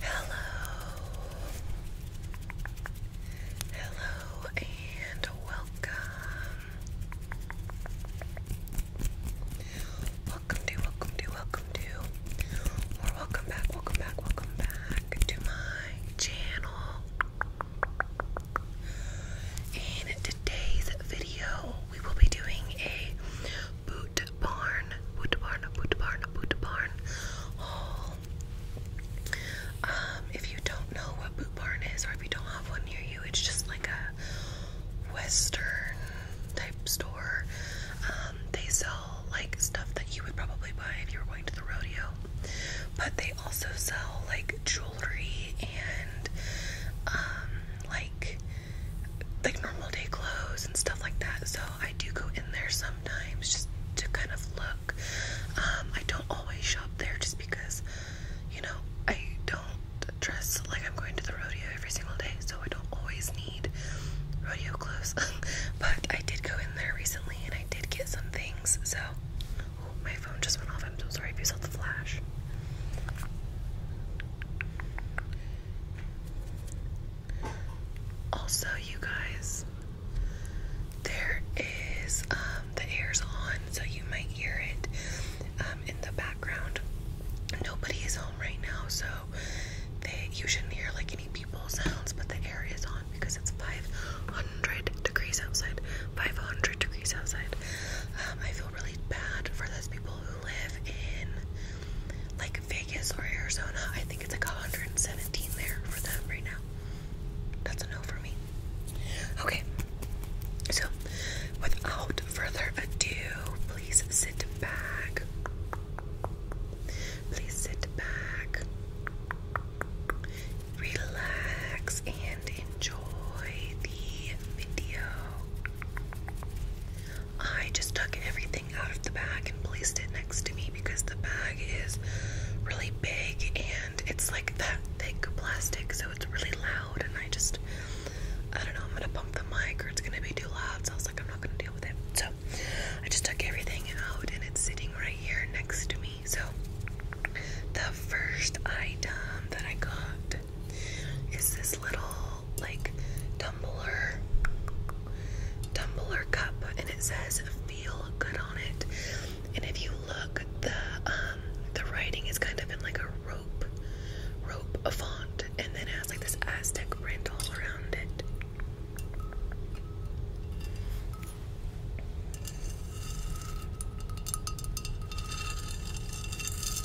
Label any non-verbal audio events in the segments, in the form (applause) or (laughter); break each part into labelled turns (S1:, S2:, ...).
S1: Hello, hello, and welcome. Welcome to, welcome to, welcome to, or welcome back, welcome back, welcome back to my channel. In today's video, we will be doing a boot barn, boot barn, boot barn, boot barn haul. Oh. Um, if you don't know what boot barn is, or if you don't have one near you, it's just like a western type store. Um, they sell like stuff that you would probably buy if you were going to the rodeo, but they also sell like jewelry and um, like like normal day clothes and stuff like that. So I do go in there sometimes just to kind of look. Um, I don't always shop there just because, you know, I don't dress like I'm going to the rodeo every single day, so I don't always need rodeo clothes. (laughs) but I did go in there recently and I did get some things, so my phone just went off. I'm so sorry if you saw the flash. Also, you guys, there is um, the air's on, so you might hear it um, in the background. Nobody is home right now, so they you shouldn't hear like any people sounds, but the air is on because it's 500 degrees outside. 500 degrees outside. Um, I feel really bad for those people who live in like Vegas or Arizona. I think it's like 117 there for them right now. That's a no for me. Okay, so without further ado, please sit back. Please sit back, relax, and enjoy the video. I just took everything out of the bag and placed it next to me because the bag is really big and it's like that thick plastic, so it's really loud. And I just, I don't know, I'm gonna pump the mic or it's gonna be too loud. So I was like, I'm not gonna deal with it. So I just took everything out and it's sitting right here next to me. So the first item that I got is this little like tumbler tumbler cup and it says feel good on it and if you look the um, the writing is kind of in like a rope rope a font and then it has like this aztec print all around it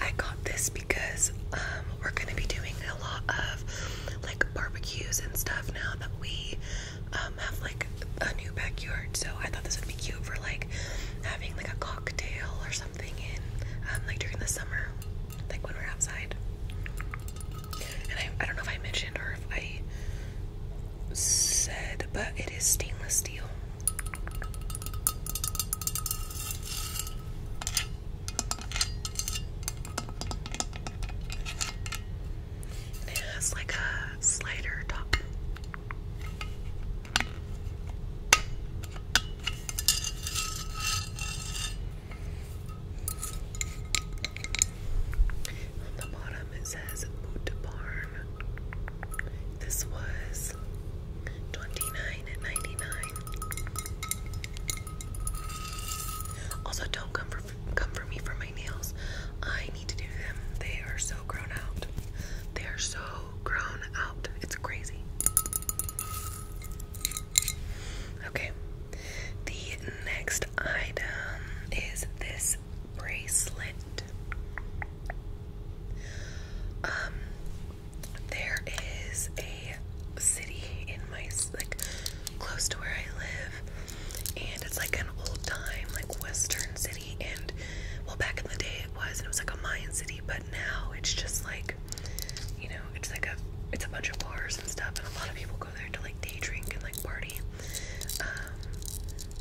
S1: I got this because um, we're gonna be doing a lot of like barbecues and stuff now that we um, have like a new backyard. So I thought this would be cute for like having like a cocktail or something in um, like during the summer, like when we're outside. And I don't know if I mentioned or if I said, but it is stainless steel it has like a slider top. On the bottom it says Boot This was twenty nine also, don't come for come for me for my nails. I need to do them. They are so grown out. They are so grown out. It's crazy. Okay. The next item is this bracelet. Um, there is a city in my like close to where I live, and it's like an old time like Western city. And well, back in the day it was, and it was like a Mayan city, but now it's just like you know, it's like a it's a bunch of bars and stuff, and a lot of people go there to like day drink and like party. Um,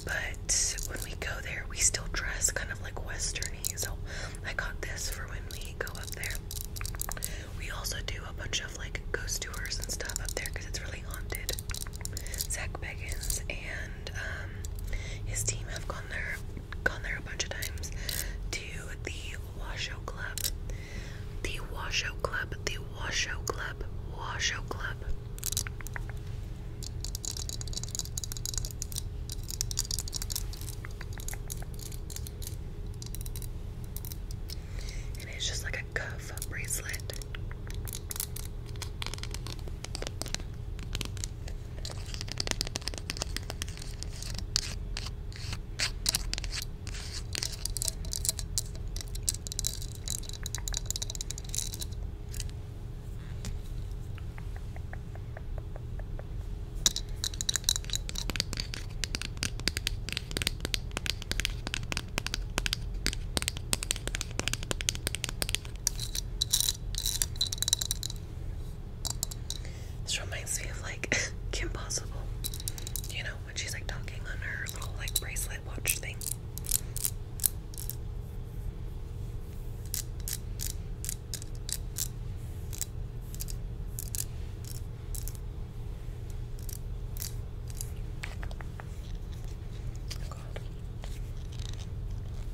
S1: but when we go there, we still dress kind of like westerny. So I got this for when we go up there. We also do a bunch of like ghost tours and stuff up there because it's really haunted. Zach Beggins and um, his team have gone there, gone there a bunch of times to the Washoe Club. The Washoe Club. The Washoe Club. Washoe Club. And it's just like a cuff bracelet. This reminds me of like (laughs) Kim Possible, you know, when she's like talking on her little like bracelet watch thing. God.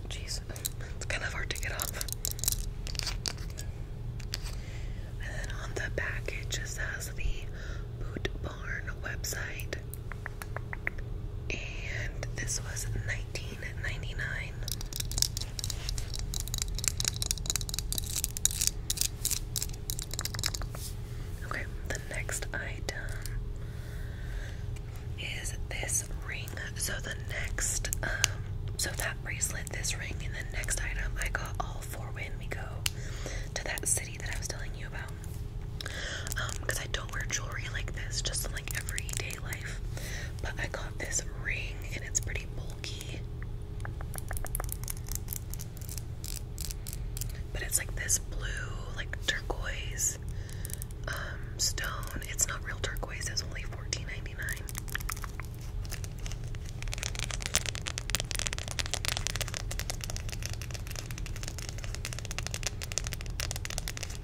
S1: Jeez, (laughs) it's kind of hard to get off. And then on the back, it just has the Boot Barn website. And this was 19 Okay, the next item is this ring. So the next, um, so that bracelet, this ring, and the next item I got all four when we go to that city that I was telling you about. because um, I don't wear jewelry like this, just like everyday like. But I got this ring and it's pretty bulky. But it's like this blue, like turquoise um, stone. It's not real turquoise, it's only 14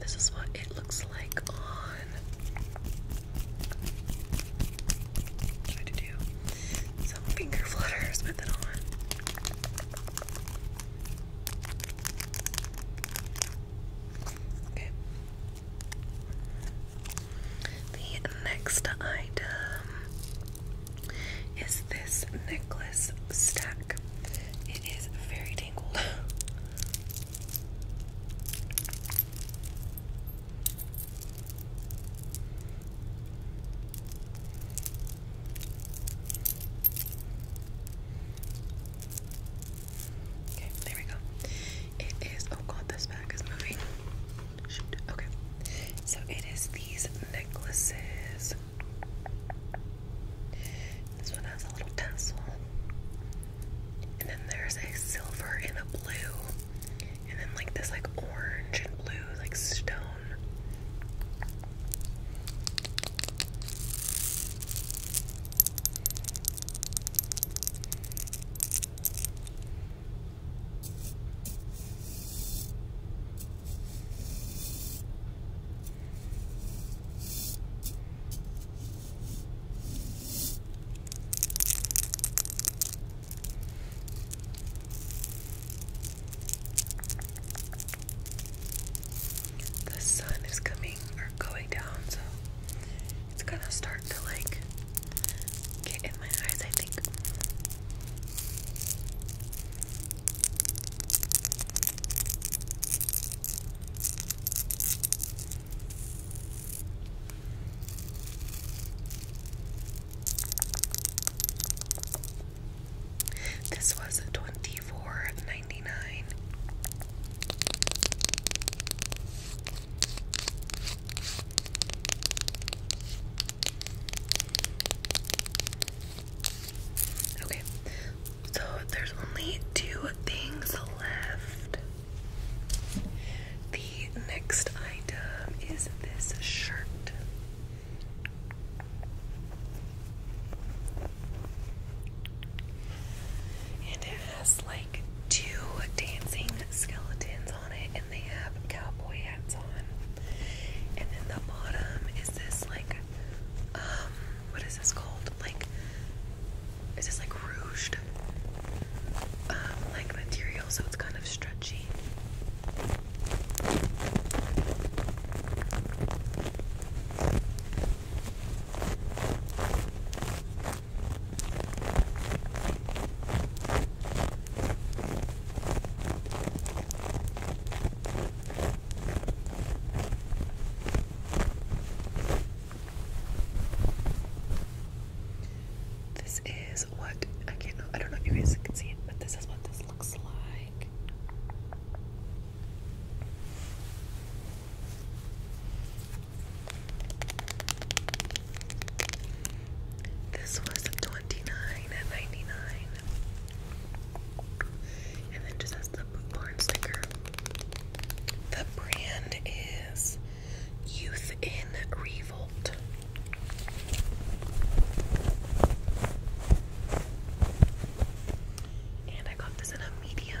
S1: This is what it looks like on. tried to do some finger flutters with it on. Okay. The next item is this necklace stack. It is very tangled. (laughs) Okay, there we go. It is. Oh god, this bag is moving. Okay. So it is these necklaces. This one has a little tassel. And then there's a silver and a blue. And then like this like orange and blue like stone. The sun is coming or going down, so it's gonna start to like get in my eyes, I think. This was 24 Okay, so there's only two things left. The next item is this shirt. And it has like two dancing skeletons on it, and they have cowboy hats on. And then the bottom is this like, um, what is this called? Like, is this like rouged, um, like material? So it's kind of stretchy. This is what I can't I don't know if you guys can see it, but this is what this looks like. This was 29 and 99 And then just has the barn sticker. The brand is Youth in Revolt. And I got this in a medium.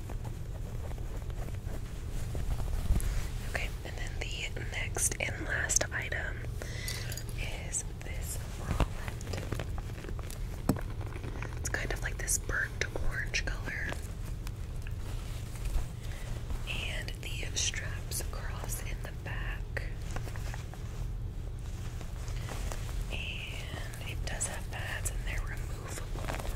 S1: Okay, and then the next and last item is this bralette. It's kind of like this burnt orange color. And the straps cross in the back. And it does have pads and they're removable.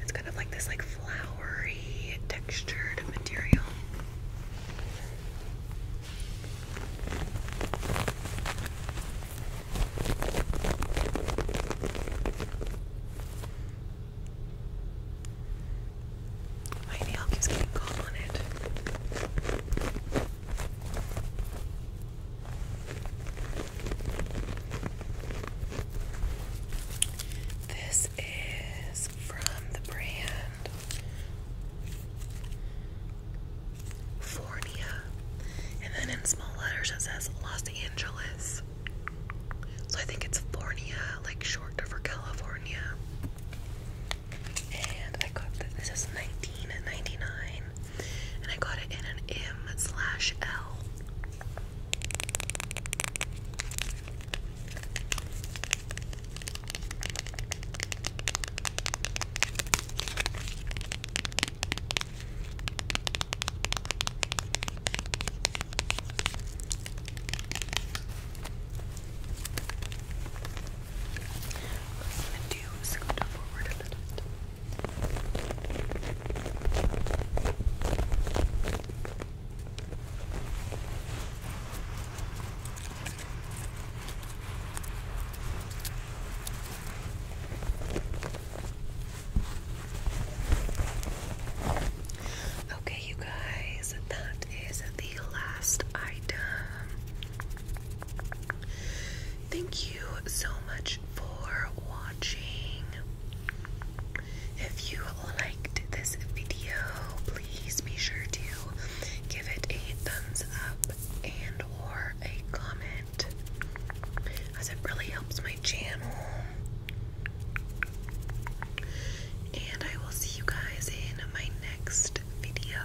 S1: It's kind of like this like flowery textured material. My nail keeps getting caught on it. This is from the brand Fornia. And then in small letters it says Los Angeles. So I think it's Fornia, like short for California. And I got this. This is 19.99 and I got it in an M slash L. am I'm gonna forward a little bit. Okay, you guys, that is the last item. Thank you so much for watching. If you liked this video, please be sure to give it a thumbs up and or a comment as it really helps my channel. And I will see you guys in my next video.